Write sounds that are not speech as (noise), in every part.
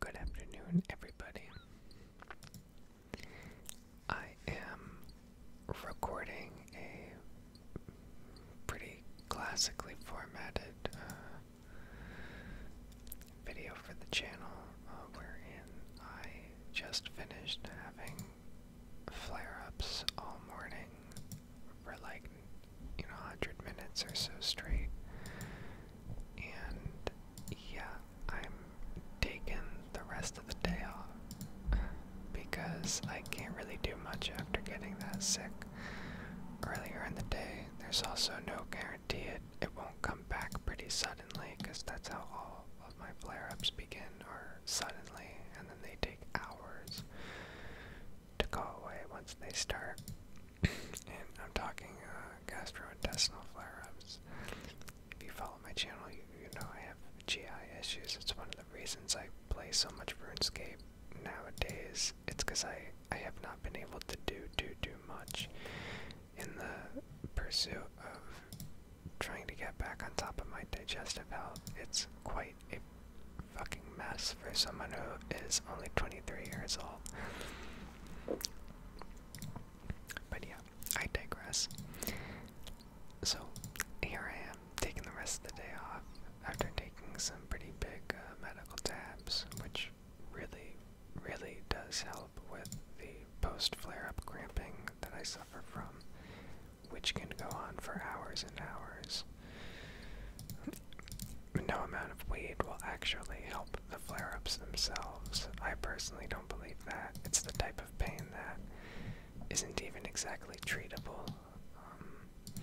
Good afternoon, everybody. I am recording a pretty classically formatted uh, video for the channel uh, wherein I just finished having flare-ups all morning for like you know 100 minutes or so straight and yeah i'm taking the rest of the day off because i can't really do much after getting that sick earlier in the day there's also no guarantee it, it won't come back pretty suddenly because that's how all my flare-ups begin are suddenly, and then they take hours to go away once they start. (coughs) and I'm talking uh, gastrointestinal flare-ups. If you follow my channel, you, you know I have GI issues. It's one of the reasons I play so much RuneScape nowadays. It's because I, I have not been able to do, do, do much in the pursuit of trying to get back on top of my digestive health. It's quite a fucking mess for someone who is only 23 years old. But yeah, I digress. So here I am, taking the rest of the day off after taking some pretty big uh, medical tabs, which really, really does help with the post flare up cramping that I suffer from which can go on for hours and hours. No amount of weed will actually help the flare ups themselves. I personally don't believe that. It's the type of pain that isn't even exactly treatable um,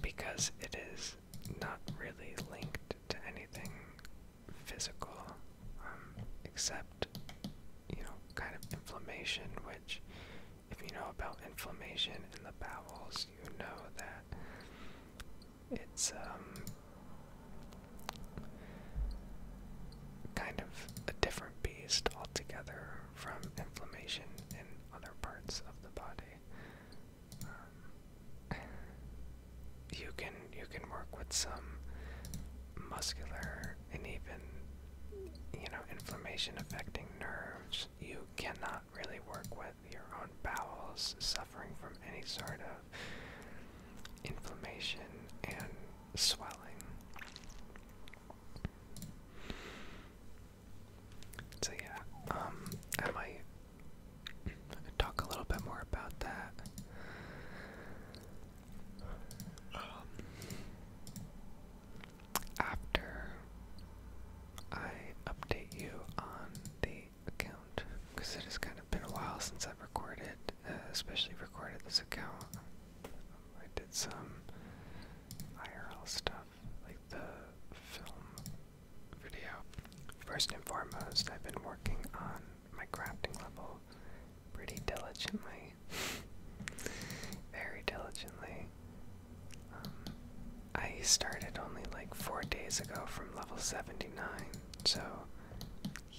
because it is not really linked to anything physical um, except you know, kind of inflammation, which, if you know about inflammation in the bowels, you know that it's um, kind of a different beast altogether from inflammation in other parts of the body. Um, you can you can work with some muscular and even you know inflammation affecting nerves you cannot really work with your own bowels suffering from any sort of inflammation and swelling so yeah um i might talk a little bit more about that um, after I update you on the account, because it has kind of been a while since I've recorded, uh, especially recorded this account. I did some IRL stuff, like the film video. First and foremost, I've been working on my crafting level pretty diligently, very diligently. Um, I started only like four days ago from level 79, so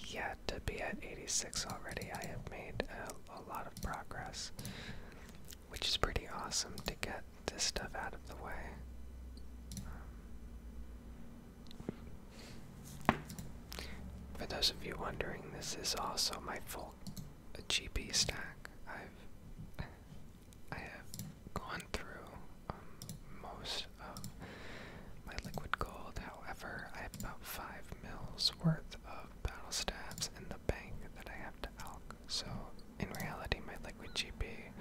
yeah, to be at 86 already, I have made a, lot of progress, which is pretty awesome to get this stuff out of the way. Um, for those of you wondering, this is also my full GP stack. I've I have gone through um, most of my liquid gold. However, I have about five mils worth of battle stabs in the bank that I have to alk. So in reality, my liquid GP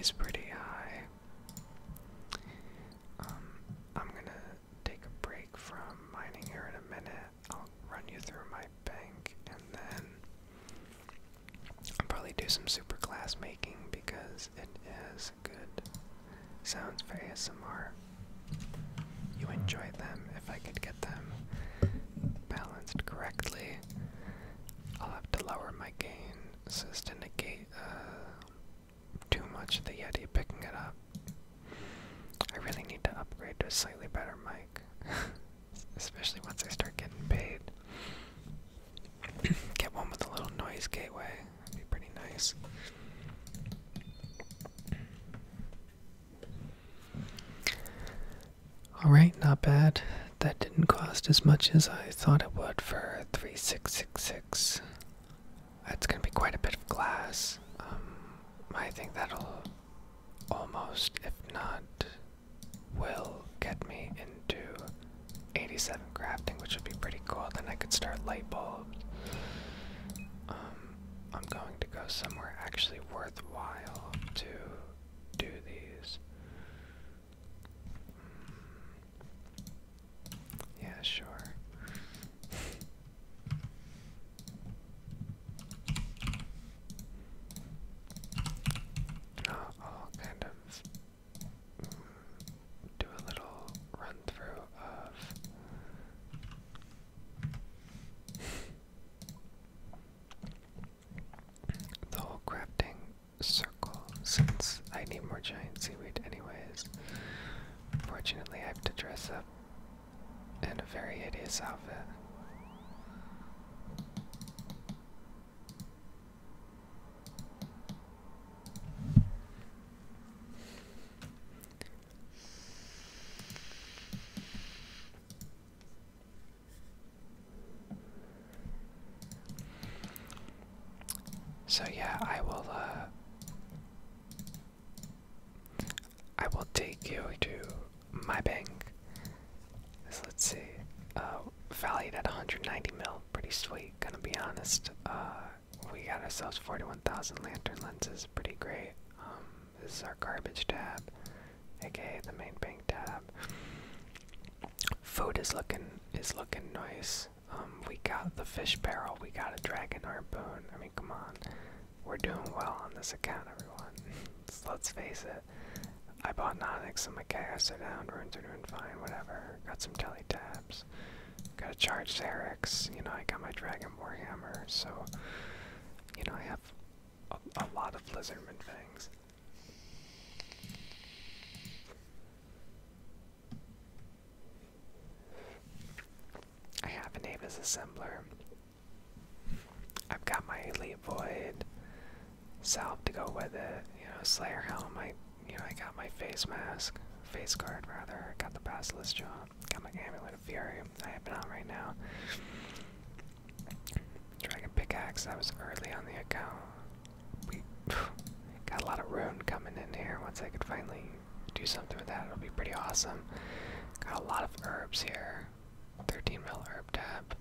is pretty high. Um, I'm gonna take a break from mining here in a minute. I'll run you through my bank and then I'll probably do some super glass making because it is good sounds for ASMR. You enjoy them if I could get them balanced correctly. I'll have to lower my gain so to negate uh, too much of the Yeti picking it up. I really need to upgrade to a slightly better mic, (laughs) especially once I start getting paid. (coughs) Get one with a little noise gateway, that'd be pretty nice. Alright, not bad. That didn't cost as much as I thought it would for 3666. That's going to be quite a bit of glass. Um, I think that'll almost, if not, will get me into 87 crafting, which would be pretty cool. Then I could start light bulbs. Um, I'm going to go somewhere actually worthwhile to do these. Hmm. Yeah, sure. (laughs) I'll kind of mm, do a little run through of the whole crafting circle since I need more giant seaweed anyways. Fortunately I have to dress up and a very hideous outfit. So yeah, I will uh, I will take you to my bank. let's see. Uh, valued at 190 mil. Pretty sweet, gonna be honest. Uh, we got ourselves 41,000 lantern lenses. Pretty great. Um, this is our garbage tab, aka the main bank tab. Food is looking is looking nice. Um, we got the fish barrel. We got a dragon bone. I mean, come on we're doing well on this account, everyone. let's face it. I bought Nonix, some Chaos are down, runes are doing fine, whatever. Got some Telly Tabs. Got a charge Xerix. You know, I got my Dragon hammer, so, you know, I have a, a lot of Lizardman things. I have a name as assembler. I've got my elite void salve to go with it. You know, Slayer helm. I, you know, I got my face mask, face guard rather. I got the basilisk jaw. Got my amulet of fury. I have it on right now. Dragon pickaxe. That was early on the account. We (sighs) got a lot of rune coming in here once I could finally do something with that, it'll be pretty awesome. Got a lot of herbs here. 13 mil herb tab.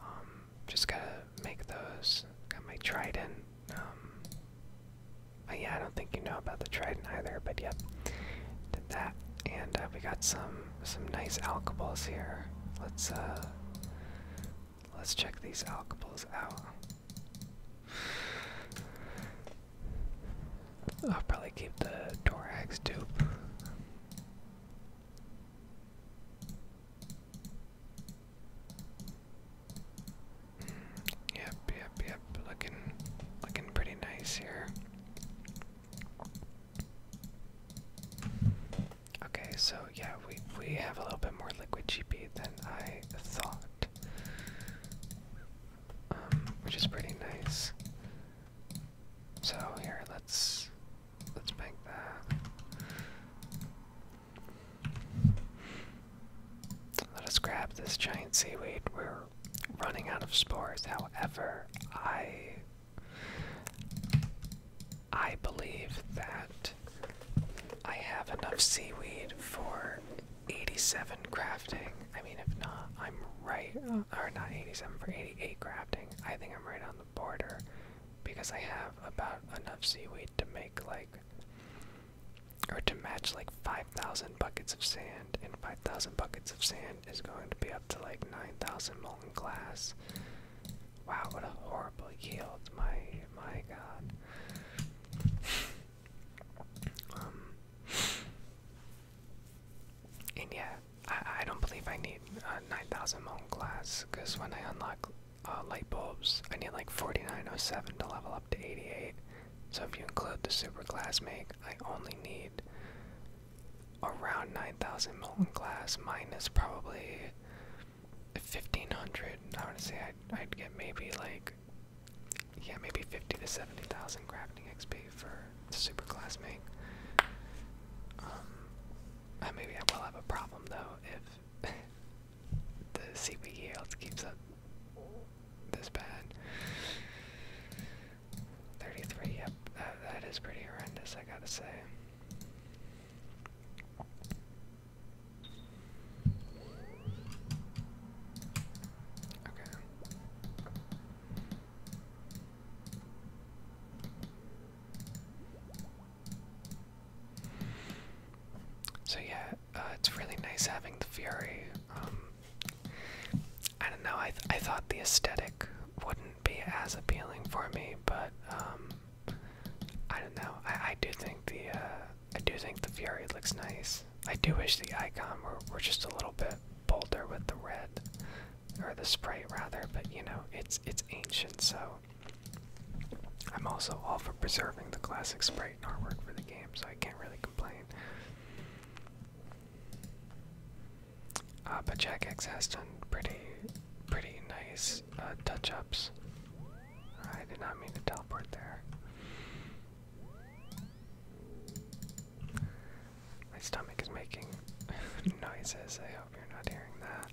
Um, just going to make those. Got my trident. Um, yeah, I don't think you know about the trident either, but yeah, Did that. And uh, we got some some nice alcohols here. Let's uh, let's check these alcohols out. I'll probably keep the door axe too. Yep, yep, yep. Looking, looking pretty nice here. Okay, so yeah, we we have a little bit more liquid GP than I thought. Um, which is pretty nice. So here, let's let's bank that. Let us grab this giant seaweed. We're running out of spores. However, I I believe that I have enough seaweed for 87 crafting. I mean, if not, I'm right, uh, or not 87 for 88 crafting. I think I'm right on the border because I have about enough seaweed to make like, or to match like 5,000 buckets of sand, and 5,000 buckets of sand is going to be up to like 9,000 molten glass. Wow, what a horrible yield! My my God. (laughs) Um, and yeah, I, I don't believe I need 9,000 molten glass, because when I unlock uh, light bulbs, I need like 4907 to level up to 88. So if you include the super glass make, I only need around 9,000 molten glass minus probably 1,500. I want to say i I'd get maybe like yeah, maybe 50 to 70,000 crafting XP for super classmate. Um, uh, maybe I will have a problem though if (laughs) the CP keeps up this bad. 33, yep, that, that is pretty horrendous, I gotta say. Okay. So yeah, uh, it's really nice having the Fury. Um, I don't know. I I thought the aesthetic wouldn't be as appealing for me, but um, I don't know. I I do think the uh, I do think the Fury looks nice. I do wish the icon were, just a little bit bolder with the red, or the sprite rather, but you know, it's, it's ancient, so I'm also all for preserving the classic sprite and artwork for the game, so I can't really complain. Uh, but Jackx has done pretty, pretty nice uh, touch-ups. I did not mean to teleport there. My stomach is making (laughs) noises. I hope you're not hearing that.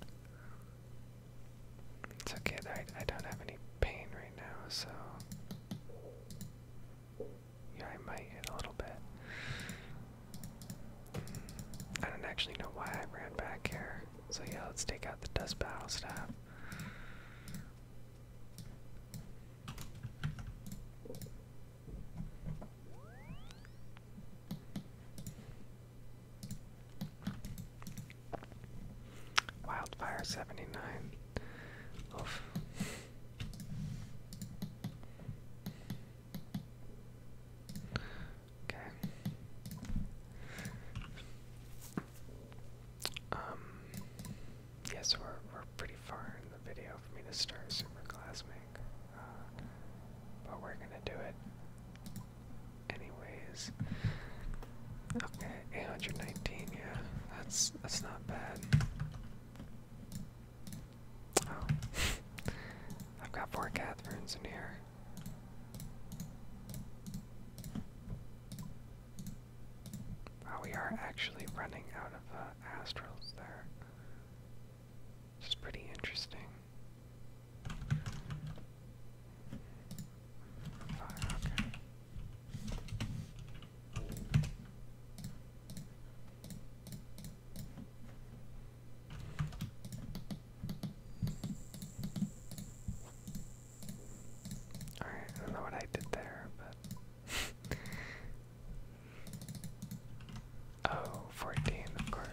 It's okay, I, I don't have any pain right now, so. Yeah, I might hit a little bit. I don't actually know why I ran back here. So, yeah, let's take out the dust battle staff. Wildfire 79. Okay. Um Yes, we're, we're pretty far in the video for me to start Superclassmate. Uh, but we're gonna do it anyways. Okay, 819, yeah, that's, that's not bad. Oh, (laughs) I've got four Catherines in here. Wow, we are actually running out of uh, astrals there. This is pretty interesting. Alright, I don't know what I did there, but (laughs) Oh, 14, of course.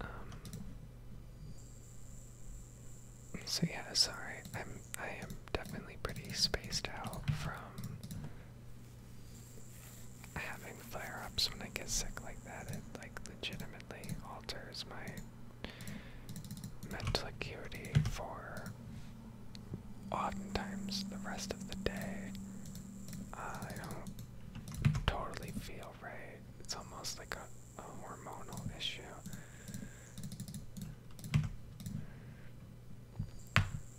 Um, so yeah, sorry, I'm I am definitely pretty spaced out from having flare ups when I get sick like that, it like legitimately alters my mental acuity for oftentimes the rest of the day. I don't totally feel right. It's almost like a hormonal issue.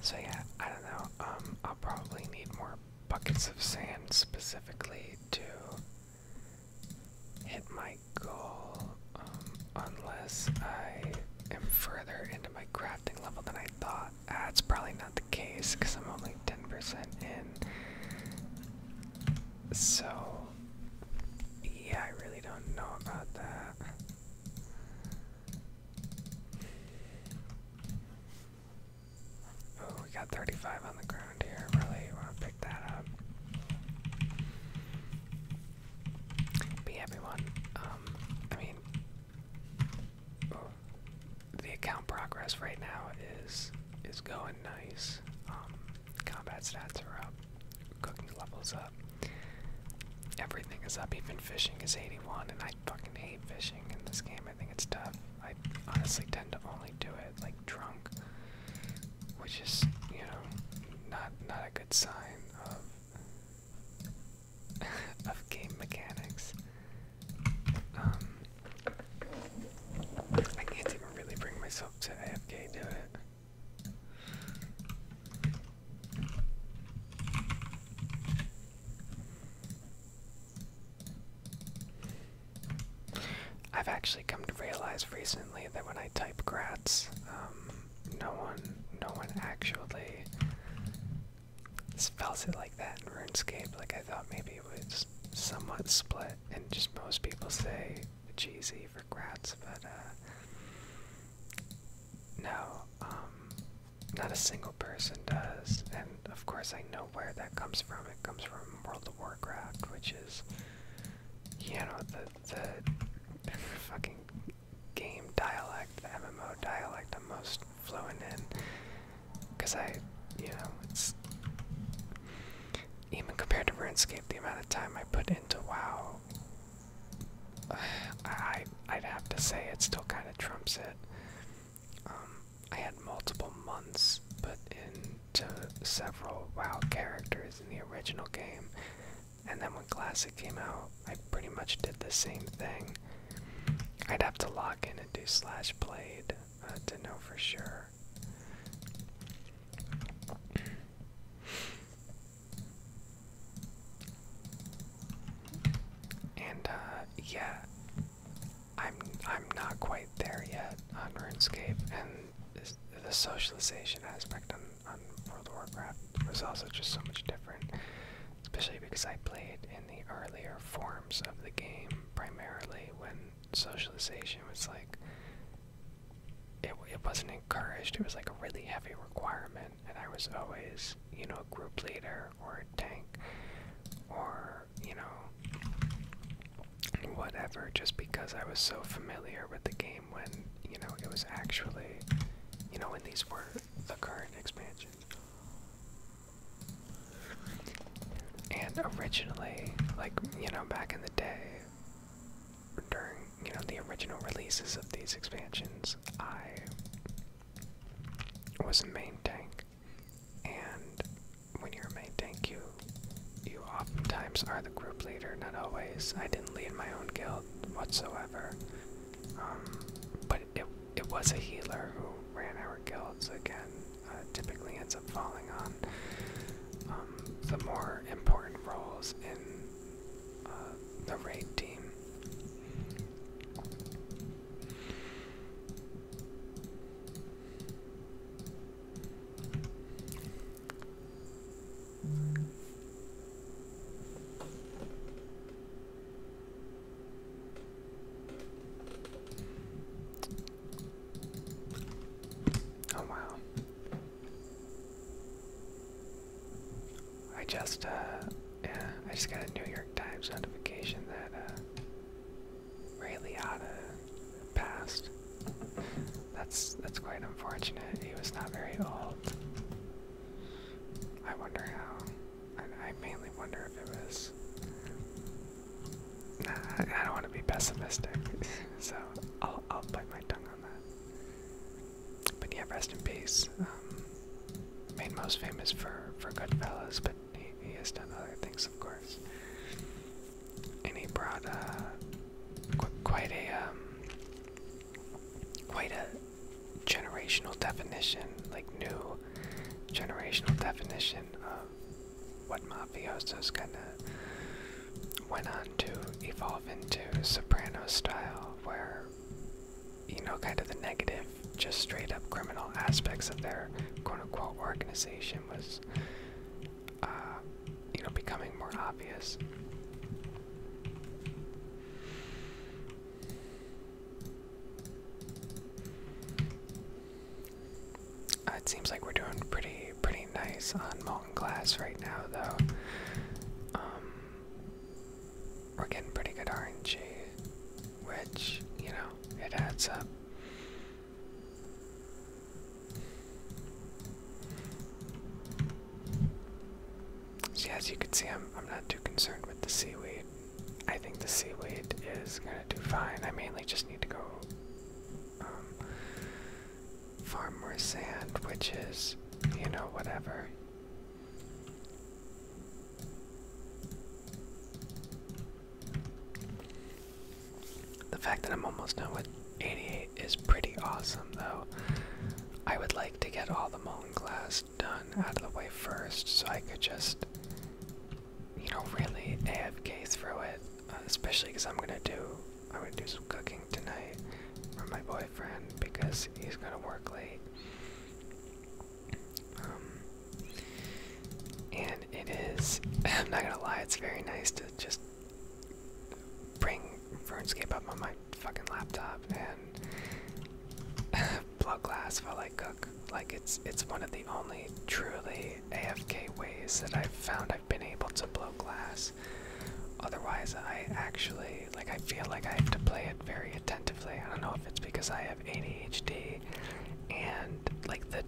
So yeah, I don't know. Um, i probably need more buckets of sand specifically to hit my goal, um, unless I am further into my crafting level than I thought. That's ah, probably not the case because I'm only 10% in. So, yeah, I really don't know about that. Oh, we got 35 on the ground here. Really want to pick that up. But everyone, um, I mean, oh, the account progress right now is is going nice. Um, Combat stats are up. Cooking levels up. Everything is up. Even fishing is 81, and I fucking hate fishing in this game. I think it's tough. I honestly tend to only do it like drunk, which is you know not not a good sign of (laughs) of game mechanics. Um, I can't even really bring myself to AFK do it. I've actually come to realize recently that when I type grats, um, no one, no one actually spells it like that in RuneScape. Like I thought maybe it was somewhat split, and just most people say cheesy for grats, but uh, no, um, not a single person does. And of course, I know where that comes from. It comes from World of Warcraft, which is, you know, the, the (laughs) fucking game dialect, the MMO dialect I'm most fluent in. Because I, you know, it's. Even compared to RuneScape, the amount of time I put into WoW I I'd have to say it still kind of trumps it. Um, I had multiple months put into several WoW characters in the original game, and then when Classic came out, I pretty much did the same thing. I'd have to log in and do slash Blade uh, to know for sure. And uh, yeah, I'm I'm not quite there yet on RuneScape, and the socialization aspect on on World of Warcraft was also just so much different, especially because I played in the earlier forms of the game primarily when socialization was like it, it wasn't encouraged. It was like a really heavy requirement, and I was always, you know, a group leader or a tank or, you know, whatever, just because I was so familiar with the game when, you know, it was actually, you know, when these were the current expansion. And originally, like, you know, back in the day, during you know the original releases of these expansions, I was a main tank, and when you're a main tank, you you oftentimes are the group leader. Not always. I didn't lead my own guild whatsoever, um, but it it was a healer who ran our guilds again. Uh, typically ends up falling on um, the more important roles in uh, the raid team. Oh, wow. I just, uh, yeah, I just got a New York Times notification that, uh, Ray Liotta passed. That's, that's quite unfortunate. He was not very old. I wonder how, I, I mainly wonder if it was, nah, I, I don't want to be pessimistic, (laughs) so I'll, I'll bite my tongue on that but yeah, rest in peace. made um, most famous for for Goodfellas, but he, has done other things, of course. And he brought uh, quite a um, quite a generational definition, like new generational definition of what mafiosos kind of went on to evolve into soprano style, where, you know, kind of the negative, just straight up criminal aspects of their quote unquote organization was, uh, you know, becoming more obvious. Uh, it seems like we're doing pretty pretty nice on glass right now, though. Um, we're getting pretty good RNG, which, you know, it adds up. So, as you can see, I'm, I'm not too concerned with the seaweed. I think the seaweed is gonna do fine. I mainly just need to go um, farm more sand, which is, you know, whatever. The fact that I'm almost done with 88 is pretty awesome, though. I would like to get all the molten glass done out of the way first, so I could just, you know, really AFK through it. Uh, especially because I'm gonna do I'm gonna do some cooking tonight for my boyfriend because he's gonna work late. Um, and it is, (laughs) I'm not gonna lie, it's very nice to just bring RuneScape up on my fucking laptop and (laughs) blow glass while I cook. Like it's it's one of the only truly AFK ways that I've found I've been able to blow glass otherwise I actually like I feel like I have to play it very attentively. I don't know if it's because I have ADHD and like the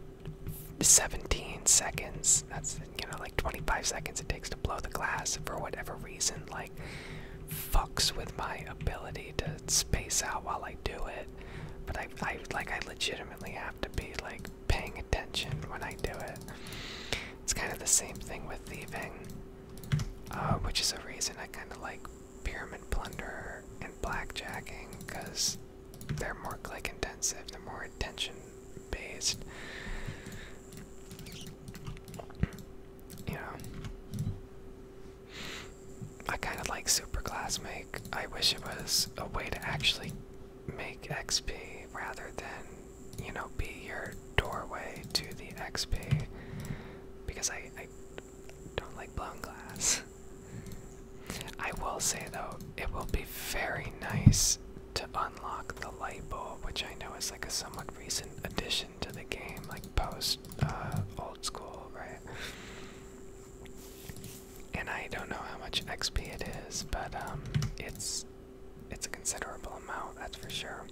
17 seconds that's you know like 25 seconds it takes to blow the glass for whatever reason like fucks with my ability to space out while I do it. But I like I legitimately have to be like paying attention when I do it. It's kind of the same thing with thieving. Um, which is a reason I kind of like Pyramid Plunder and Blackjacking because they're more click intensive, they're more attention based. You know, I kind of like Super Class Make. I wish it was a way to actually make XP rather than you know, be your doorway to the XP because I, I don't like blown glass. I will say though, it will be very nice to unlock the light bulb, which I know is like a somewhat recent addition to the game, like post uh, old school, right? And I don't know how much XP it is, but um, it's it's a considerable amount, that's for sure.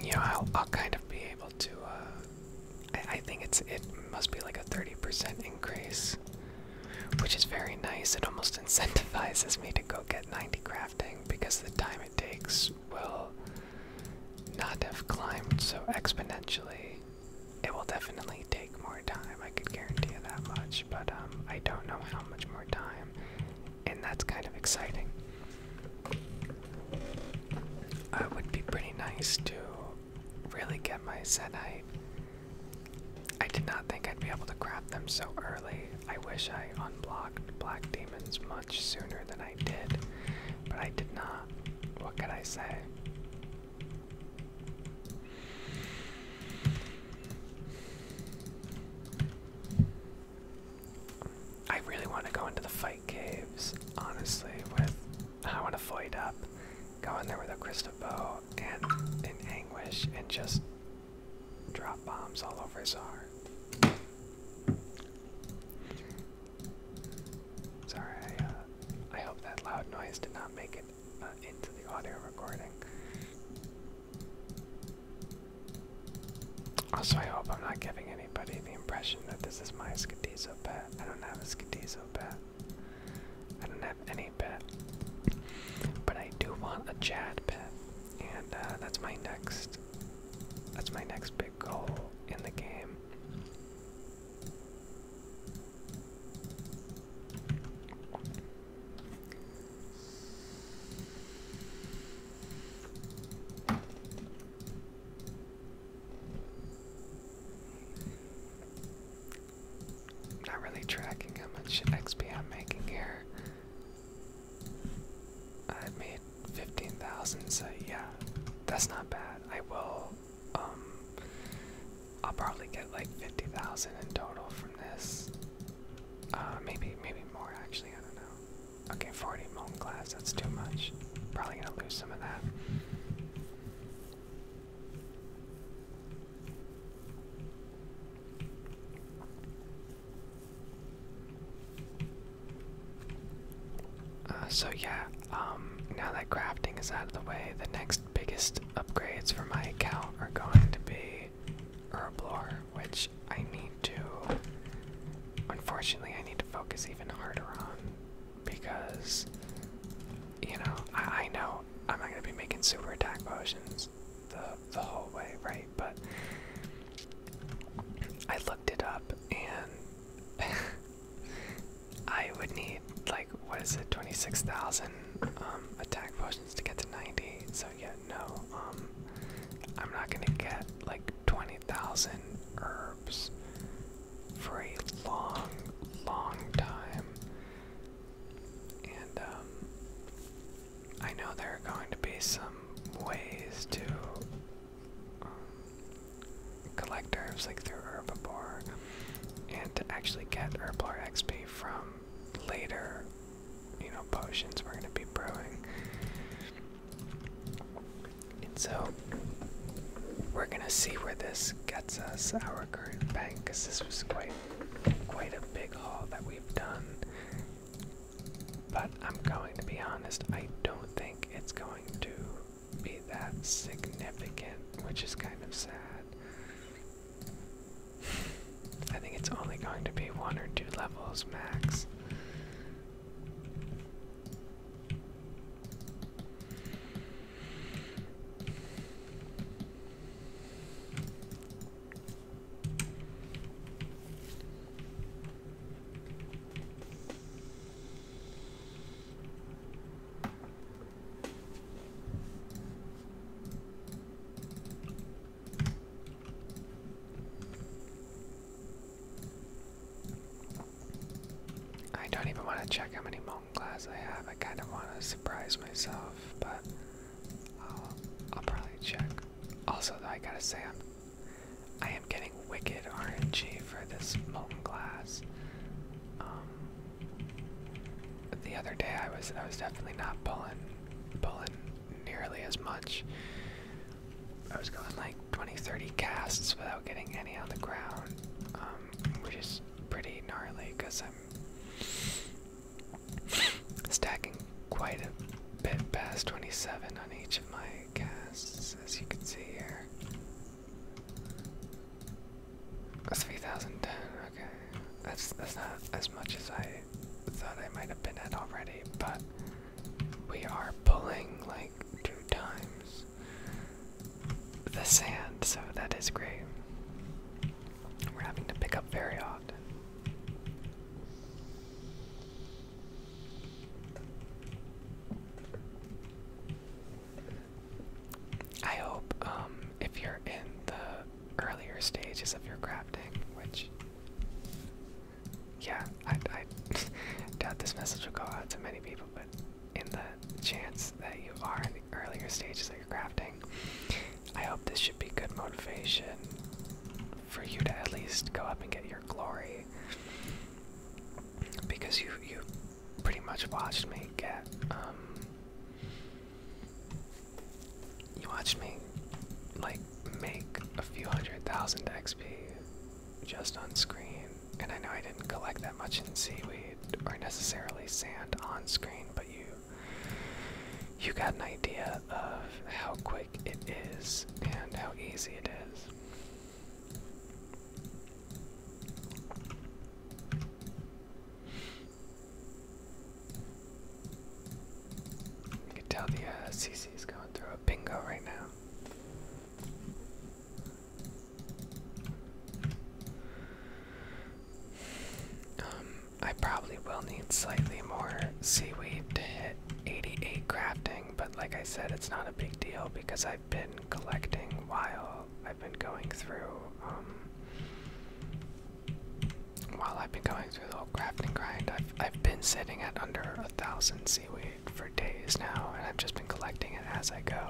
You know, I'll, I'll kind of be able to. Uh, I, I think it's it must be like a thirty percent increase, which is very nice. It almost (laughs) incentivizes me to go get ninety crafting because the time it takes will not have climbed so exponentially. It will definitely take more time, I can guarantee you that much, but um, I don't know how much more time, and that's kind of exciting. I would be pretty nice to really get my Zenite. I did not think I'd be able to craft them so early. I wish I unblocked Black Demons much sooner than I did, but I did not. What could I say? I really want to go into the fight caves, honestly, with I want to void up, go in there with a crystal bow and in anguish and just drop bombs all over his Czar. Sorry, uh, I, hope that loud noise did not make it uh, into the audio recording. Also, I hope I'm not giving anybody the impression that this is my Skadizo pet. I don't have a Skadizo pet. I don't have any pet. But I do want a Chad pet. And uh, that's my next. That's my next big goal in the game. Not really tracking how much XP I'm making here. I made 15,000, so yeah, that's not bad. I will um, I'll probably get like fifty thousand in total from this. Uh, maybe maybe more actually. I don't know. Okay, forty molten glass. That's too much. Probably gonna lose some of that. Uh, so yeah, um, now that crafting is out of the way, the next biggest upgrades for my account are going to be herblore, which I need to. Unfortunately, I need to focus even harder on because, you know, I, I know I'm not going to be making super attack potions the the whole way, right? But I looked it up and. (laughs) I would need like what is it, twenty six thousand um, attack potions to get to ninety. So yeah, no, um, I'm not gonna get like twenty thousand herbs for a long, long time. And um, I know there are going to be some ways to collect herbs like through Herbivore, and to actually get Herblore XP from later, you know, potions we're going to be brewing. And so, we're going to see where this gets us, our current bank, because this was quite, quite a big haul that we've done. But I'm going to be honest, I don't think it's going to be that significant, which is kind of sad. I think it's only going to be one or two levels max. I don't even want to check how many molten glass I have. I kind of want to surprise myself, but I'll probably check. Also, though, I gotta say, I'm, I am getting wicked RNG for this molten glass. Um, the other day I was I was definitely not pulling pulling nearly as much. I was going like 20, 30 casts without getting any on the ground, um, which is pretty gnarly because I'm stacking quite a bit past 27 on each of my casts, as you can see here. That's 3010, okay. That's that's not as much as I thought I might have been at already, but we are pulling like two times the sand, so that is great. We're having to pick up very often. I hope um, if you're in the earlier stages of your crafting, which yeah, I, I (laughs) doubt this message will go out to many people, but in the chance that you are in the earlier stages of your crafting, I hope this should be good motivation for you to at least go up and get your glory because you you pretty much watched me get um, you watched me like make a few hundred thousand XP just on screen and I know I didn't collect that much in seaweed or necessarily sand on screen but you you got an idea of how quick it is and how easy it is you can tell the CC uh, is going through a bingo right now. Um, I probably will need slightly more seaweed to hit 88 crafting, but like I said, it's not a big deal because I I've been collecting while I've been going through, um, while I've been going through the whole crafting grind, I've, been sitting at under a thousand seaweed for days now, and I've just been collecting it as I go.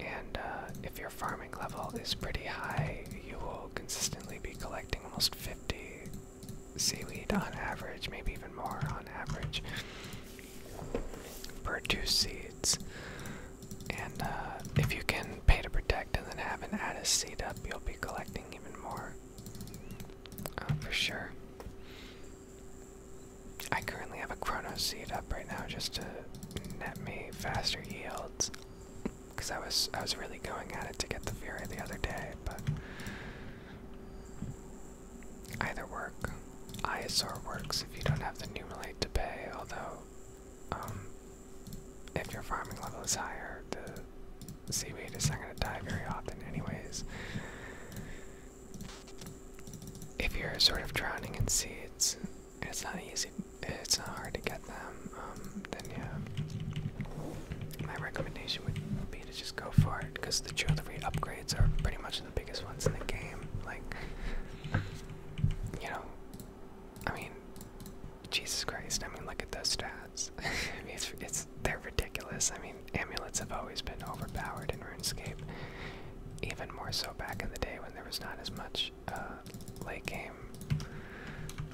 And uh, if your farming level is pretty high, you will consistently be collecting almost 50 seaweed on average, maybe even more on average produce seeds. And uh, if you can pay to protect and then have an Addis seed up, you'll be collecting even more. Uh, for sure. I currently have a Chrono seed up right now just to net me faster yields. Cause I was I was really going at it to get the Fury the other day, but either work. ISR works if you don't have the Numerate to pay, although, um, if your farming level is higher, the seaweed is not going to die very often, anyways. If you're sort of drowning in seeds, it's not easy, it's not hard to get them, um, then yeah. My recommendation would be to just go for it, because the jewelry upgrades are pretty much the biggest ones in the game. Like, you know, I mean, Jesus Christ! I mean, look at those stats. (laughs) I mean, it's, it's they're ridiculous. I mean, amulets have always been overpowered in RuneScape, even more so back in the day when there was not as much uh, late game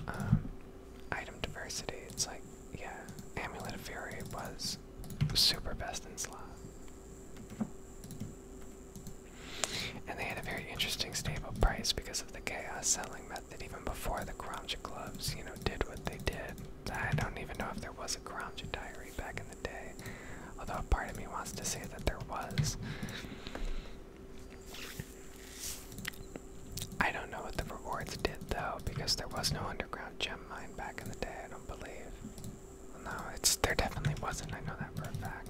um, item diversity. It's like, yeah, Amulet of Fury was super best in slot. And they had a very interesting stable price because of the chaos selling method even before the Karamja clubs, you know, did what they did. I don't even know if there was a Karamja diary back in the day, although a part of me wants to say that there was. I don't know what the rewards did though, because there was no underground gem mine back in the day, I don't believe. No, it's there definitely wasn't. I know that for a fact.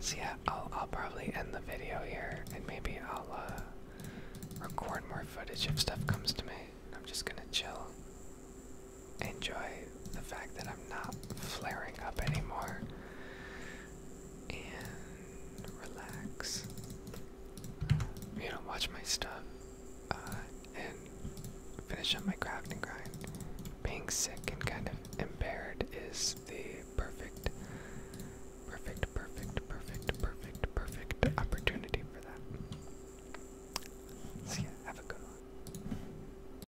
So yeah, I'll I'll probably end the video here, and maybe I'll uh, record more footage if stuff comes to me. I'm just gonna chill enjoy the fact that I'm not flaring up anymore and relax. You know, watch my stuff uh, and finish up my craft and grind. Being sick and kind of impaired is the perfect, perfect, perfect, perfect, perfect, perfect opportunity for that. So yeah, have a good one.